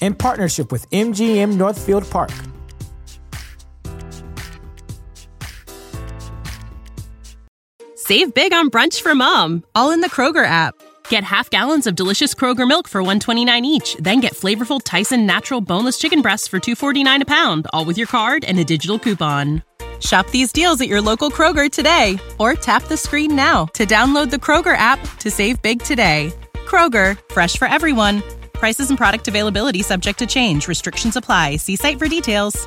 in partnership with MGM Northfield Park. Save big on brunch for mom, all in the Kroger app. Get half gallons of delicious Kroger milk for 129 each, then get flavorful Tyson natural boneless chicken breasts for 249 a pound, all with your card and a digital coupon. Shop these deals at your local Kroger today or tap the screen now to download the Kroger app to save big today. Kroger, fresh for everyone. Prices and product availability subject to change. Restrictions apply. See site for details.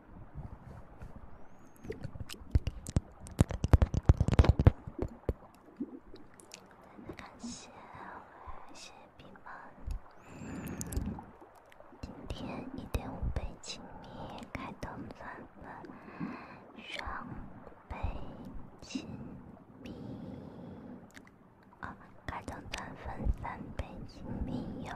感谢，感谢朋们。今天一点五倍亲密，开灯三分，双倍亲密，哦，开灯三分三倍亲密哟。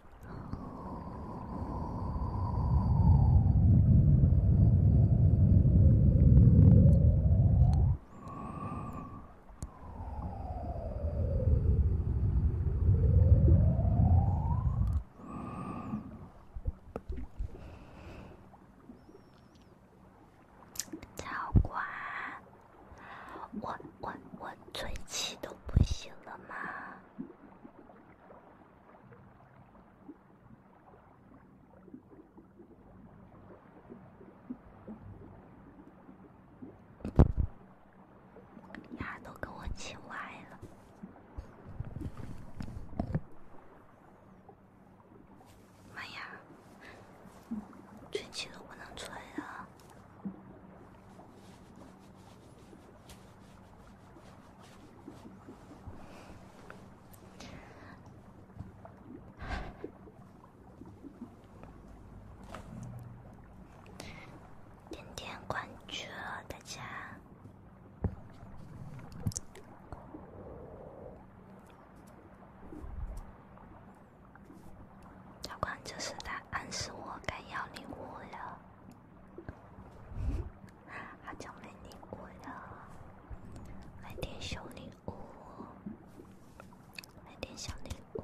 早安。我我我嘴气都不行了吗？牙都给我气歪了！妈呀，吹气都不能吹啊！点点关注，大家。加关注是大。暗示我该要礼物了，好 久没礼物了，来点小礼物，来点小礼物。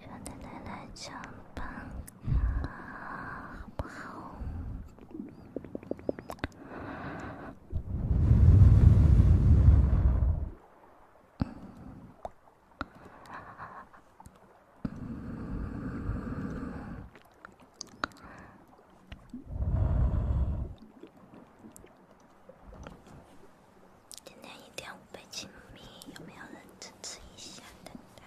让奶奶来唱吧，好不好？今天一点五百七米，有没有人支持一下？等待，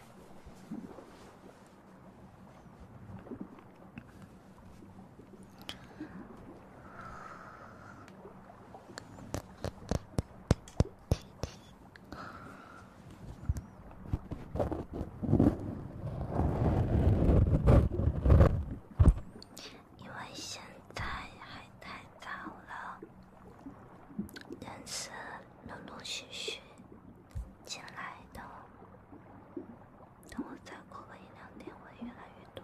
因为现在还太早了。但是陆陆续续进来的，等我再过一两天，会越来越多。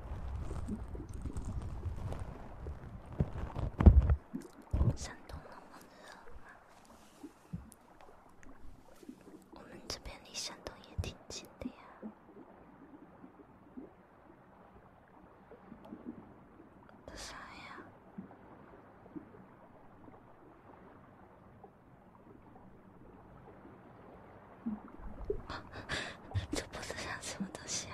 山东那么热吗？我们这边离山东也挺近的呀。啥呀？嗯，这脖子上什么东西？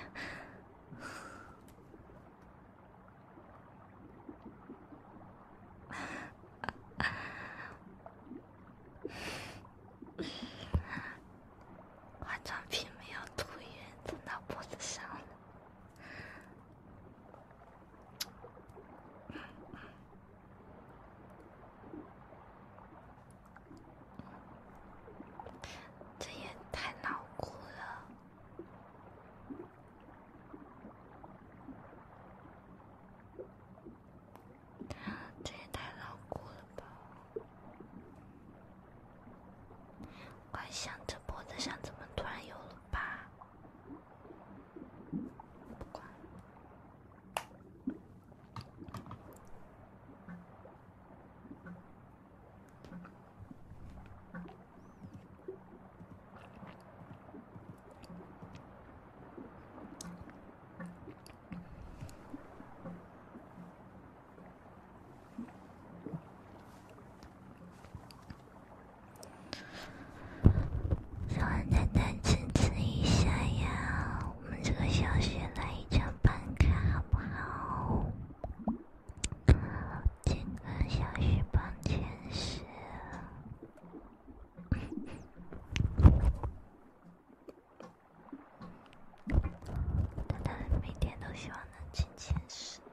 化妆品没有涂匀，蹭到脖子上了。这也太牢固了，这也太牢固了吧！我还想着脖子上怎么突然有了疤，不管。让我再坚持一下呀。我们这个小雪来一张办卡好不好？这个小雪碰钱石，他每天都希望能碰钱石呢。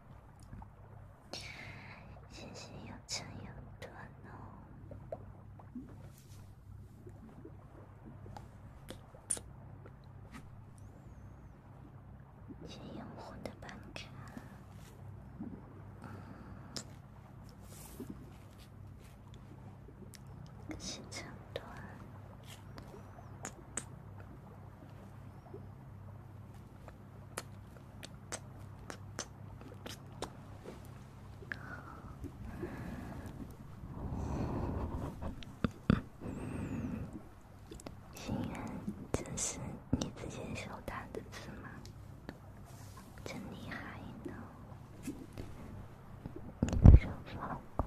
谢谢杨成勇端哦，新用户的办卡，嗯，谢成端。心愿，这是你之前手打的字吗？真厉害呢，你的手好快。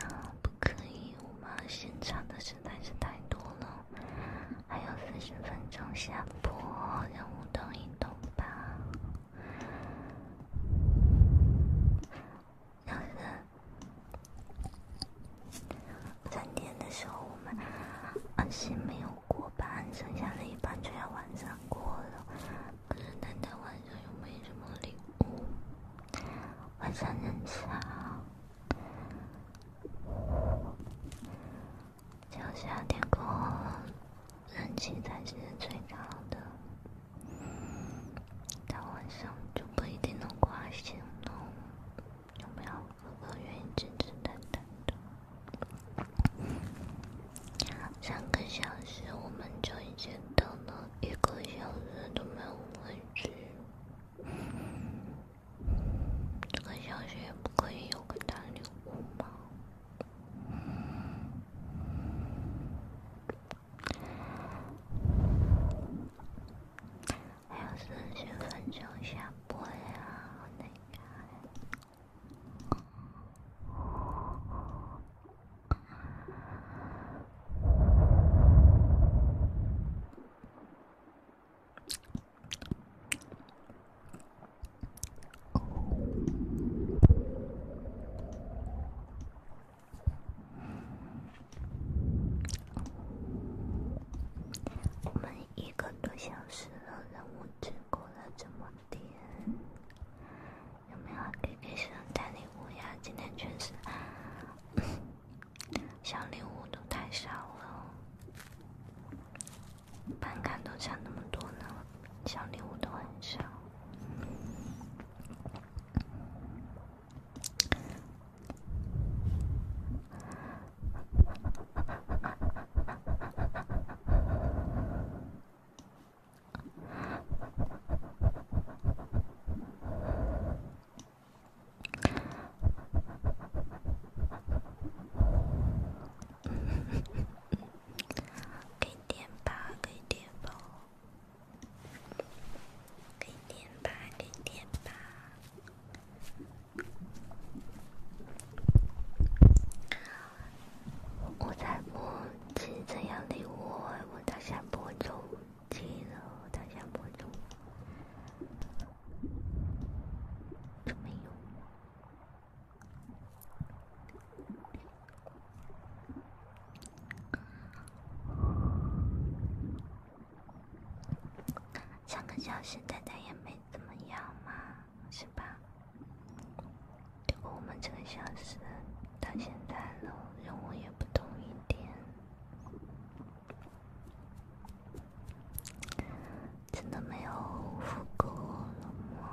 啊，不可以！我们现场的实在是太多了。还有四十分钟下播，让我都一动吧。要是三点的时候我们还是没有过班，剩下的一半就要晚上过了。可是今天晚上又没什么礼物，晚上人少。只要夏天空，好人气才是最高的。到晚上就不一定能挂醒了。有没有哥哥愿意支持等待的？三个小时我们就已经等了一个小时都没有回去。这个小学不可以有个大礼物吗？还有三十分钟下播呀！我的天。我们一个多小时的任务只过了这么点，有没有可给学生带礼物呀？今天全是小礼物，都太少了。办卡都差那么多呢，小礼物都很少。给点吧，给点吧，给点吧，给点吧。我才不接这样的我，我打算不中机了，我打算不中，这没有。上个小时大家也没怎么样嘛，是吧？不过我们这个小时到现在了，任务也不同一点。真的没有复购了吗？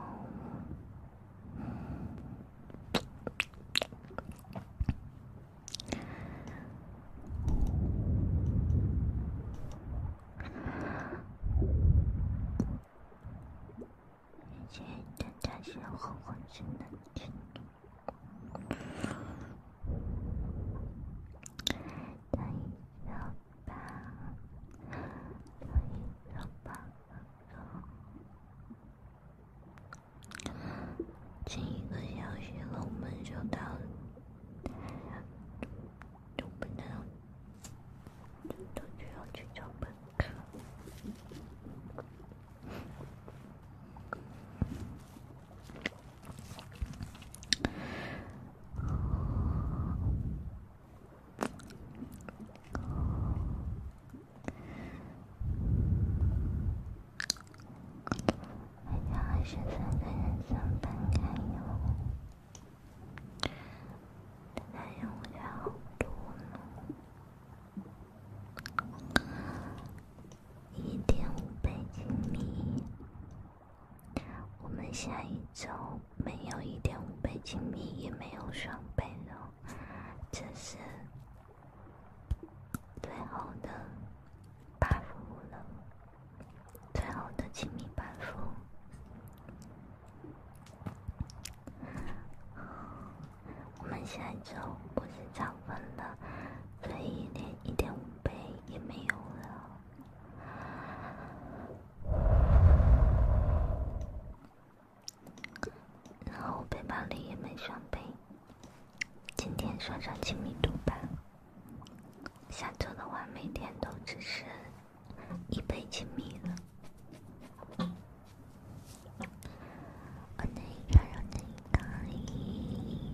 是很很真的觉得，等一下。吧，可以吧？进一个消息了，我们就到，就不能，就就要去交本科。好像还是三个人三分开哟，但是我家好多呢，一点五倍亲密。我们下一周没有一点五倍亲密，也没有双倍了，这是最后的 buff 了，最后的亲密 buff。我们下一周不是涨粉了，所以连一点五倍也没有了。然后我背包里也没装备。今天算算亲密度吧。下周的话，每天都只是一倍亲密了。我那，让让那，哪里？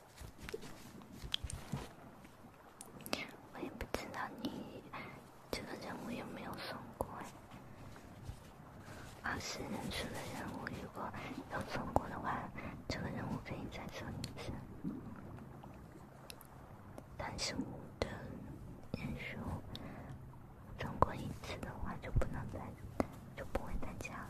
我也不知道你这个任务有没有送过哎。二十人数的任务如果有送过的话，这个任务可以再送一次。但是我的人数送过一次的话，就不能再就不会再加了。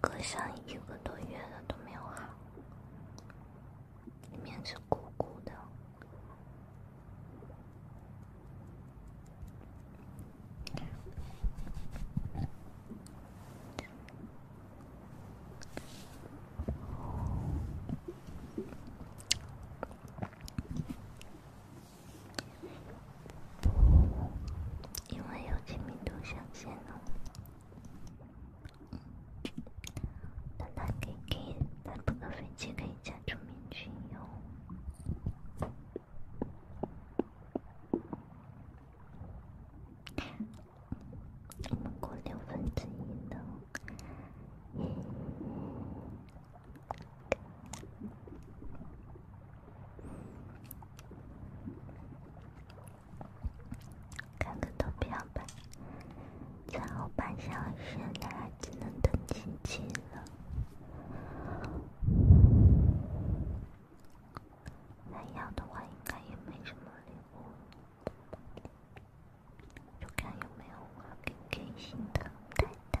隔上一个多月了都没有好，里面是鼓鼓的。因为有亲密度上限哦，但他可以，他不能飞起，可以加出面具哟，超过六分之一的。看个投票吧，最后半小时大只能等静静了。还要的话，应该也没什么礼物，就看有没有我给开的太太。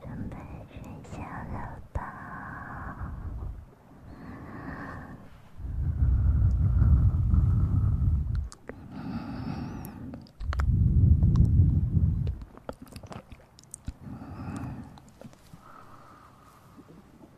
准备睡觉了吧？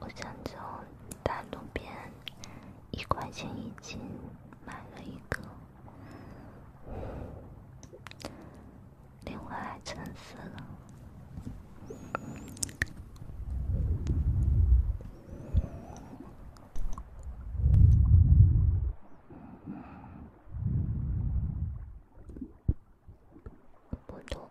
我想从大路边一块钱一斤买了一个。另外还沉死了，不多。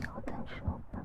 以后再说吧。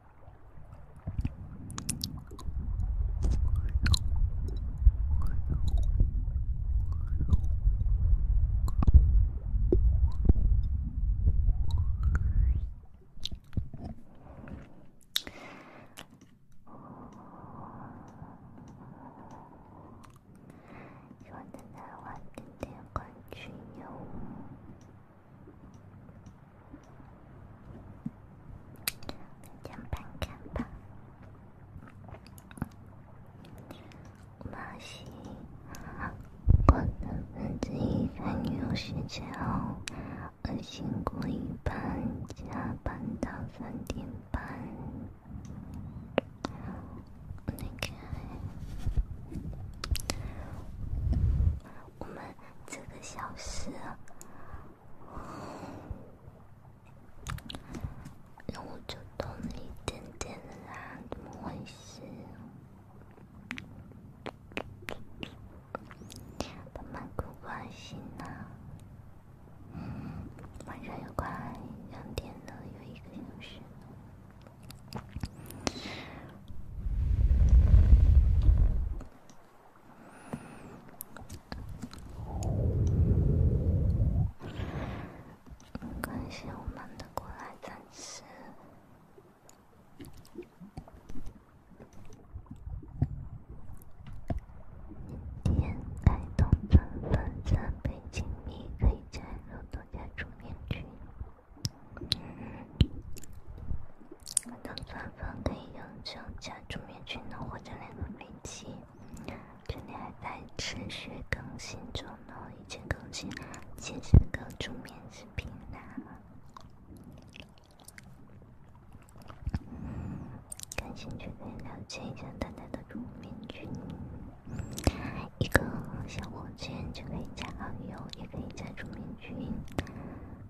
说的那晚的灯光，去游。加班加班，妈西，我等儿子一看有时间哦，我辛苦一班加班到三点半，我得看。我们这个小时，然后就动力点点的啊，怎么回事？慢慢不关心了。晚上又快两点了，有一个小时。感谢我们的过来支持。点开通尊粉，赞，倍亲密，可以加入独家主面群。我的钻粉可以用抽奖助眠群的火箭来兑飞机，这里还在持续更新中呢，一切更新请上助眠视频栏。感兴趣可以了解一下大家的助眠群，一个小火箭就可以加好友，也可以加助眠群。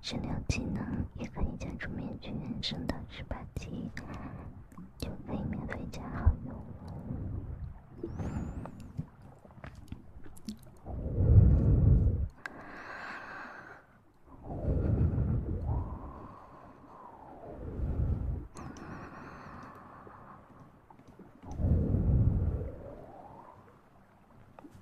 治疗技能，也可以将出面具，升到十八级就可以免费加好友。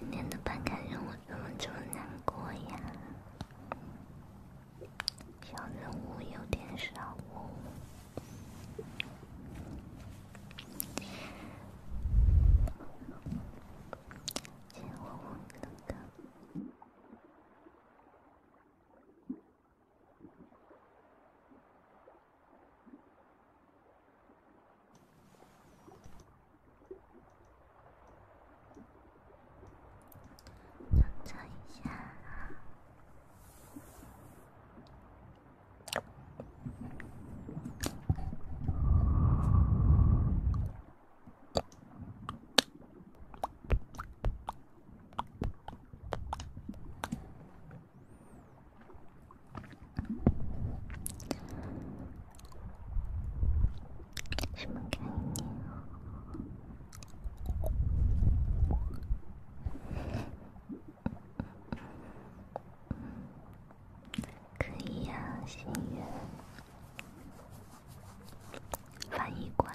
今天的办卡任务怎么这么难过呀？小任务有点少哦，金黄黄的。操作一下，什么概念？可以呀，心愿翻译官。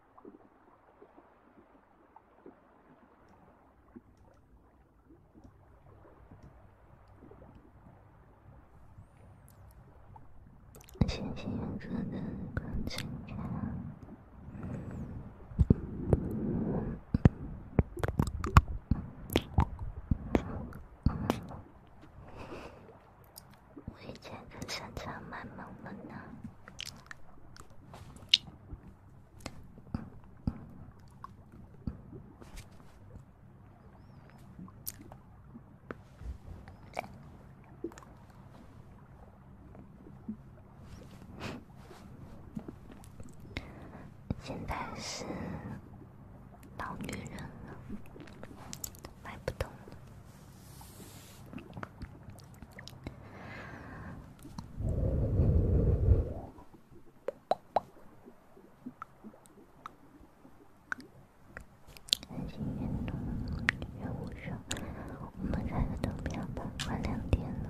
谢谢哥哥的关心呀！我以前更擅长卖萌了呢。现在是老女人了，买不动了。开心运动，任务少。我们开个灯吧，快两点了。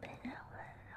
被人温柔。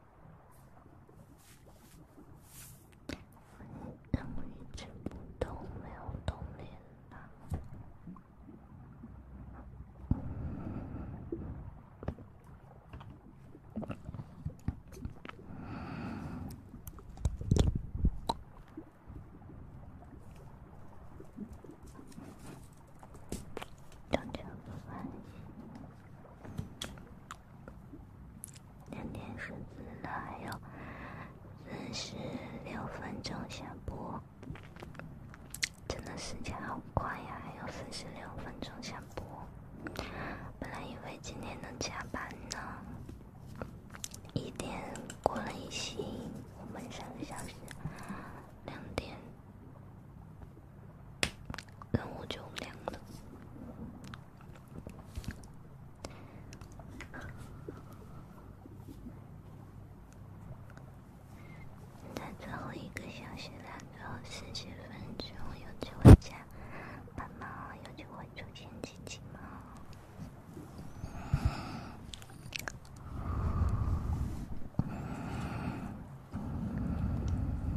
怎么一直都没有动连呢？都这个关系。两点十四了，还有四十六分钟下播，真的时间好快呀！还有四十六分钟下播，本来以为今天能加班呢，一点过了一行，我们三个小时，两点。任务就两个，在最后一个小时，然后十几分钟有机会加，爸妈有机会出现奇迹吗？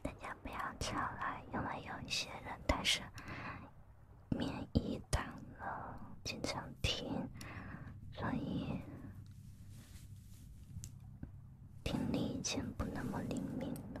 大家不要吵了，因为有一些人，但是。免疫淡了，经常听，所以听力已经不那么灵敏了。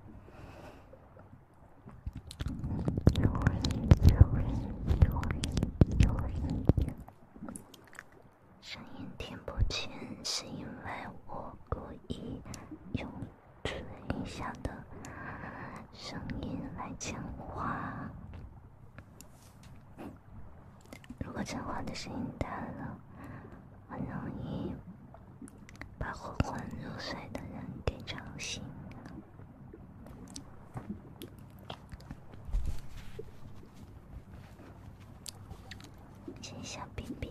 有人，声音听不清，是因为我故意用嘴下的声音来讲话。如果讲话的声音大了。很容易把昏昏入睡的人给吵醒。亲一下，B B。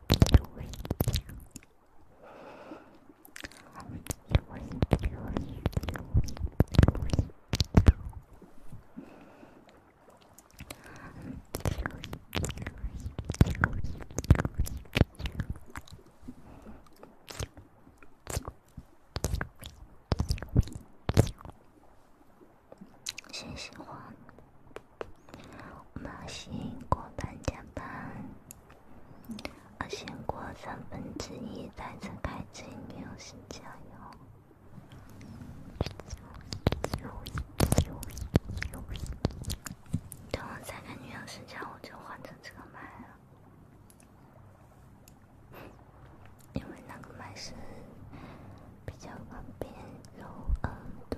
信息化。我先过半点半，我先过三分之一，再睁开眼睛休息一下哟。等我再跟女友睡觉，我就换成这个麦了，因为那个麦是比较偏 low end 多。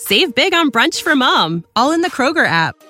Save big on brunch for mom, all in the Kroger app.